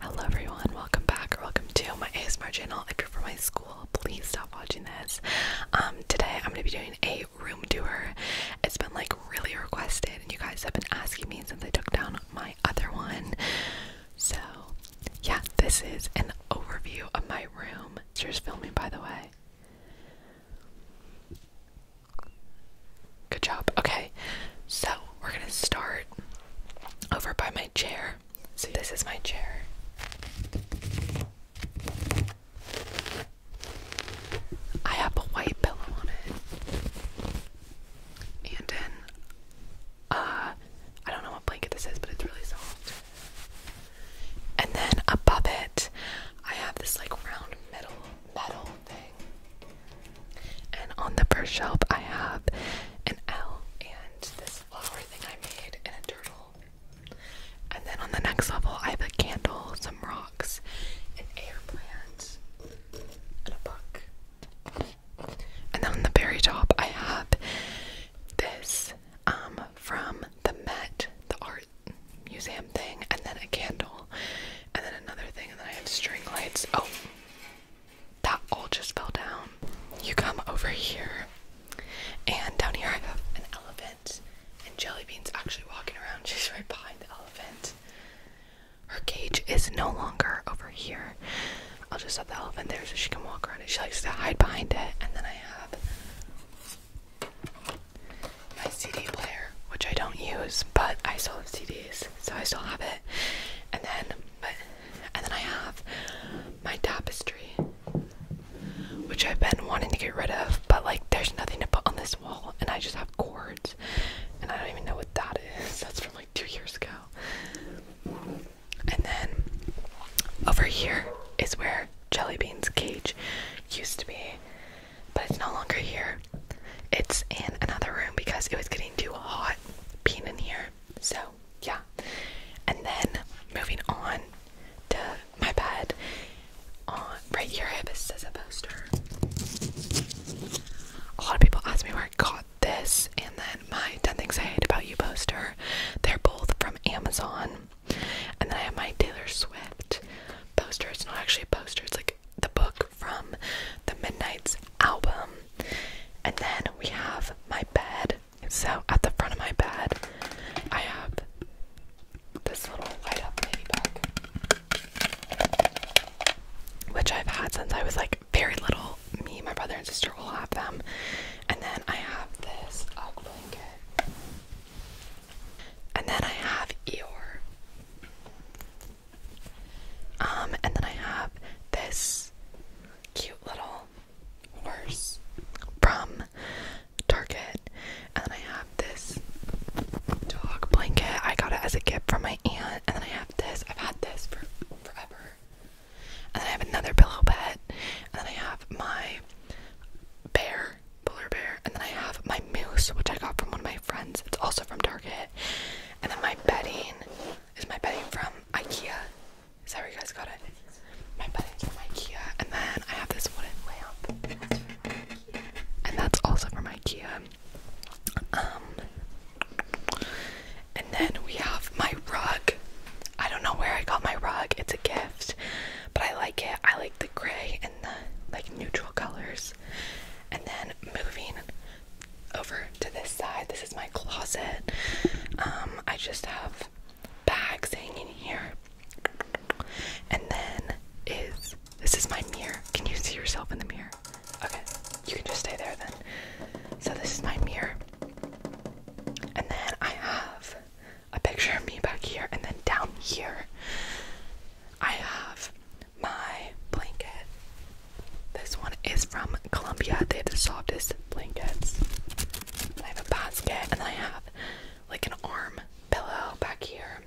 Hello everyone, welcome back or welcome to my ASMR channel. If you're from my school, please stop watching this. Um, today I'm gonna be doing a room tour. It's been like really requested and you guys have been asking me since I took down my other one. So yeah, this is an overview of my room. It's just filming by the way. Good job. Okay, so we're gonna start over by my chair. So this is my chair. I have a white pillow on it, and then uh, I don't know what blanket this is, but it's really soft. And then above it, I have this like round middle metal thing. And on the first shelf, I have an owl and this flower thing I made and a turtle. And then on the next level, I have a candle, some rocks, an air plant, and a book. And then on the very top, I have this um, from the Met, the art museum thing, and then a candle. And then another thing, and then I have string lights. Oh, that all just fell down. You come over here, and down here I have an elephant, and Jelly Bean's actually walking around. She's right behind the elephant. Her cage is no longer over here. I'll just set the elephant there so she can walk around it. She likes to hide behind it. And then I have my CD player, which I don't use, but I still have CDs, so I still have it. And then, but, and then I have my tapestry, which I've been wanting to get rid of, but like there's nothing to put on this wall, and I just have cords, and I don't even know what that is. That's from like two years ago. And then over here is where Jellybeans' cage used to be but it's no longer here. It's in another room because it was getting too hot being in here. So, yeah. And then moving on to my bed. On right here, I have a poster. A lot of people ask me where I got this, and then my 10 Things I Hate About You poster. They're both from Amazon. And then I have my Taylor Swift poster. It's not actually a poster, it's like the book from the Midnight's album. And then we have my bed. So at the front of my bed, I have this little light up ladybug, which I've had since I was like very little. Me, my brother, and sister will have them. And then I have this UGG uh, blanket. And then I have Eeyore. Um, and then I have this cute little horse from Target. And then I have this dog blanket. I got it as a gift from my aunt. And then I have this. I've had this for forever. And then I have another pillow pet. And then I have my bear polar bear, and then I have my moose, which I got from one of my friends. It's also from Target. And then my bedding is my bedding from IKEA. Is that where you guys got it? My bedding from IKEA. And then I have this wooden lamp. That's from IKEA. And that's also from IKEA. Um and then we have my rug. I don't know where I got my rug. It's a gift but I like it. I like the gray and the like neutral colors. And then moving over to this side, this is my closet. Um, I just have bags hanging here. And then is this is my mirror. Can you see yourself in the mirror? Okay, you can just stay there then. So this is my mirror. And then I have a picture of me back here, and then down here, I have my blanket. This one is from Columbia. They have the softest blankets. I have a basket, and I have like an arm pillow back here.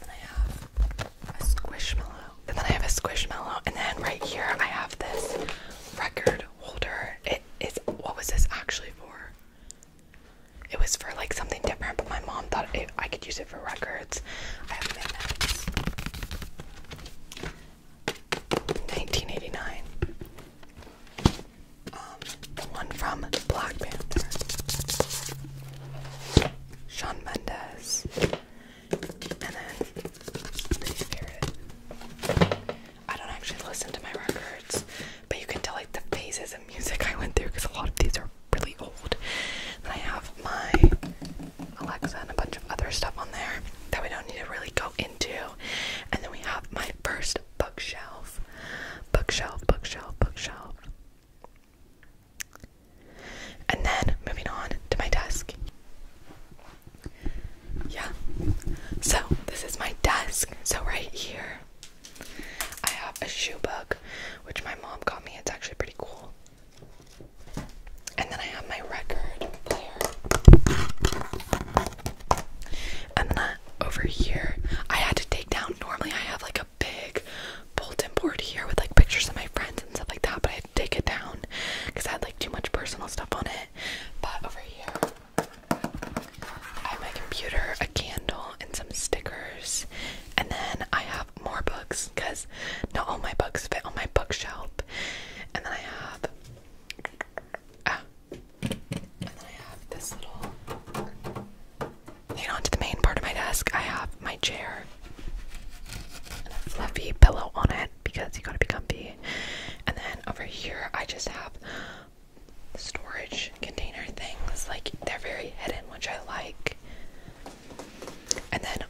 And then I have a squishmallow. And then I have a squishmallow. And then right here I have this record holder. It is what was this actually for? It was for like something different, but my mom thought I could use it for records. I have Midnight's. 1989. Um, the one from Black Panther. Sean Mendes. And then, my I don't actually listen to my records, but you can tell like the phases of music I went through because a lot of these are really old. Then I have my Alexa and a bunch of other stuff on there that we don't need to really go into. And then we have my first bookshelf. Bookshelf, bookshelf, bookshelf. And then moving on to my desk. Yeah. So this is my desk. So right here I have a shoe book, which my mom got me. It's actually pretty cool. And then I have my record player. And then over here, I had to take down. Normally, I have like a big bulletin board here with like pictures of my friends and stuff like that, but I had to take it down because I had like too much personal stuff on it. But over here, I have my computer, a candle, and some stickers. And then I have more books because not all my books fit on my bookshelf. And then I have. Ah, and then I have this little. Then onto the main part of my desk, I have my chair and a fluffy pillow on it because you gotta be comfy. And then over here, I just have storage container things. Like they're very hidden, which I like. And then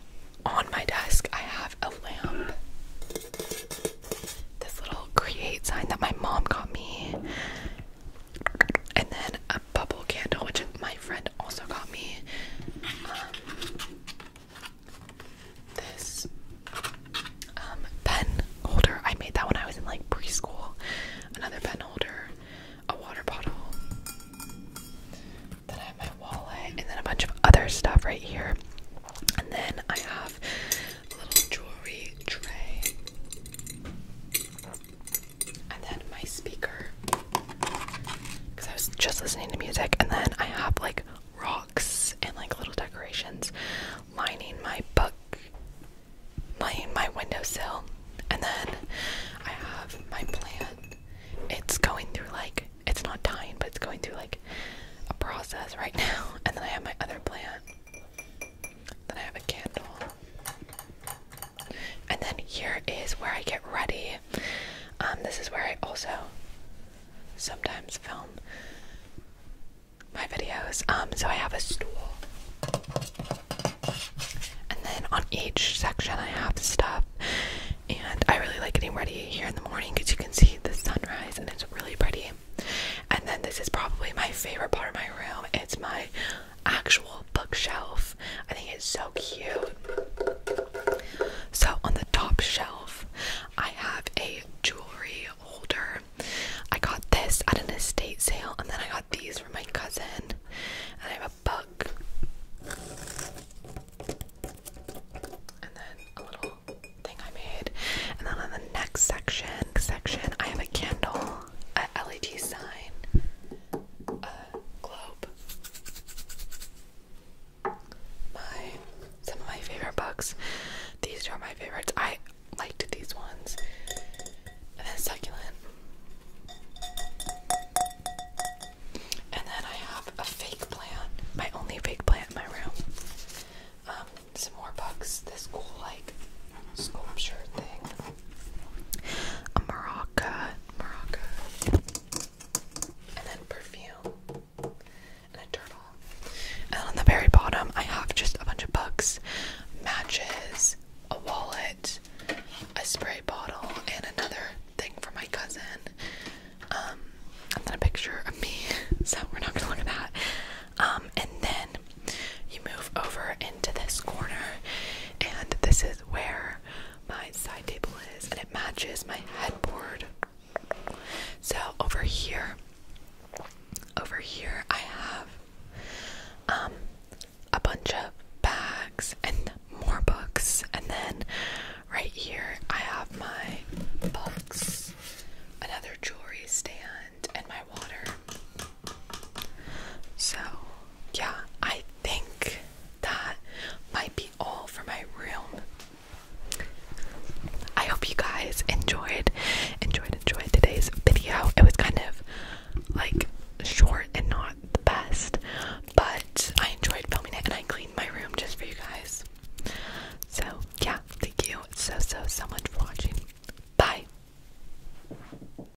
on my desk, I have a lamp. This little create sign that my mom got me. And then a bubble candle, which my friend also got me. Um, this um, pen holder. I made that when I was in like preschool. Another pen holder, a water bottle. Then I have my wallet, and then a bunch of other stuff right here. And then I have a little jewelry tray. And then my speaker. Because I was just listening to music, and then I have like rocks and like little decorations lining my book, lining my windowsill. And then I have my plant. It's going through like, it's not dying, but it's going through like a process right now. And then I have my other plant. Then I have a candle. And then here is where I get ready. Um, this is where I also sometimes film my videos. Um, so I have a stool, and then on each section I have stuff. And I really like getting ready here in the morning because you can see the sunrise and it's really pretty. And then this is probably my favorite part of my room. It's my actual bookshelf. I think it's so cute. So on the top shelf. I have a jewelry holder. I got this at an estate sale, and then I got these for my cousin. And I have a book. And then a little thing I made. And then on the next section, section, I have a candle, a LED sign, a globe, my some of my favorite books. These are my favorites. I liked these ones. And then succulent. And then I have a fake plant. My only fake plant in my room. Um, some more books. This cool like sculpture thing. A maraca. Maraca and then perfume, and a turtle. And on the very bottom, I have just a bunch of books, matches, a wallet, a spray bottle, and another thing for my cousin. Um, and then a picture of me, so we're not gonna look at that. Um, and then you move over into this corner, and this is where my side table is, and it matches my headboard. So over here, over here, I have um, a bunch of bags and more books, and then right here, I have my books, another jewelry stand, and my water. So, yeah, I think that might be all for my room. I hope you guys enjoyed, enjoyed, enjoyed today's video. It was kind of like short and not the best, but I enjoyed filming it and I cleaned my room just for you guys. So, yeah, thank you so, so, so much for watching. Bye.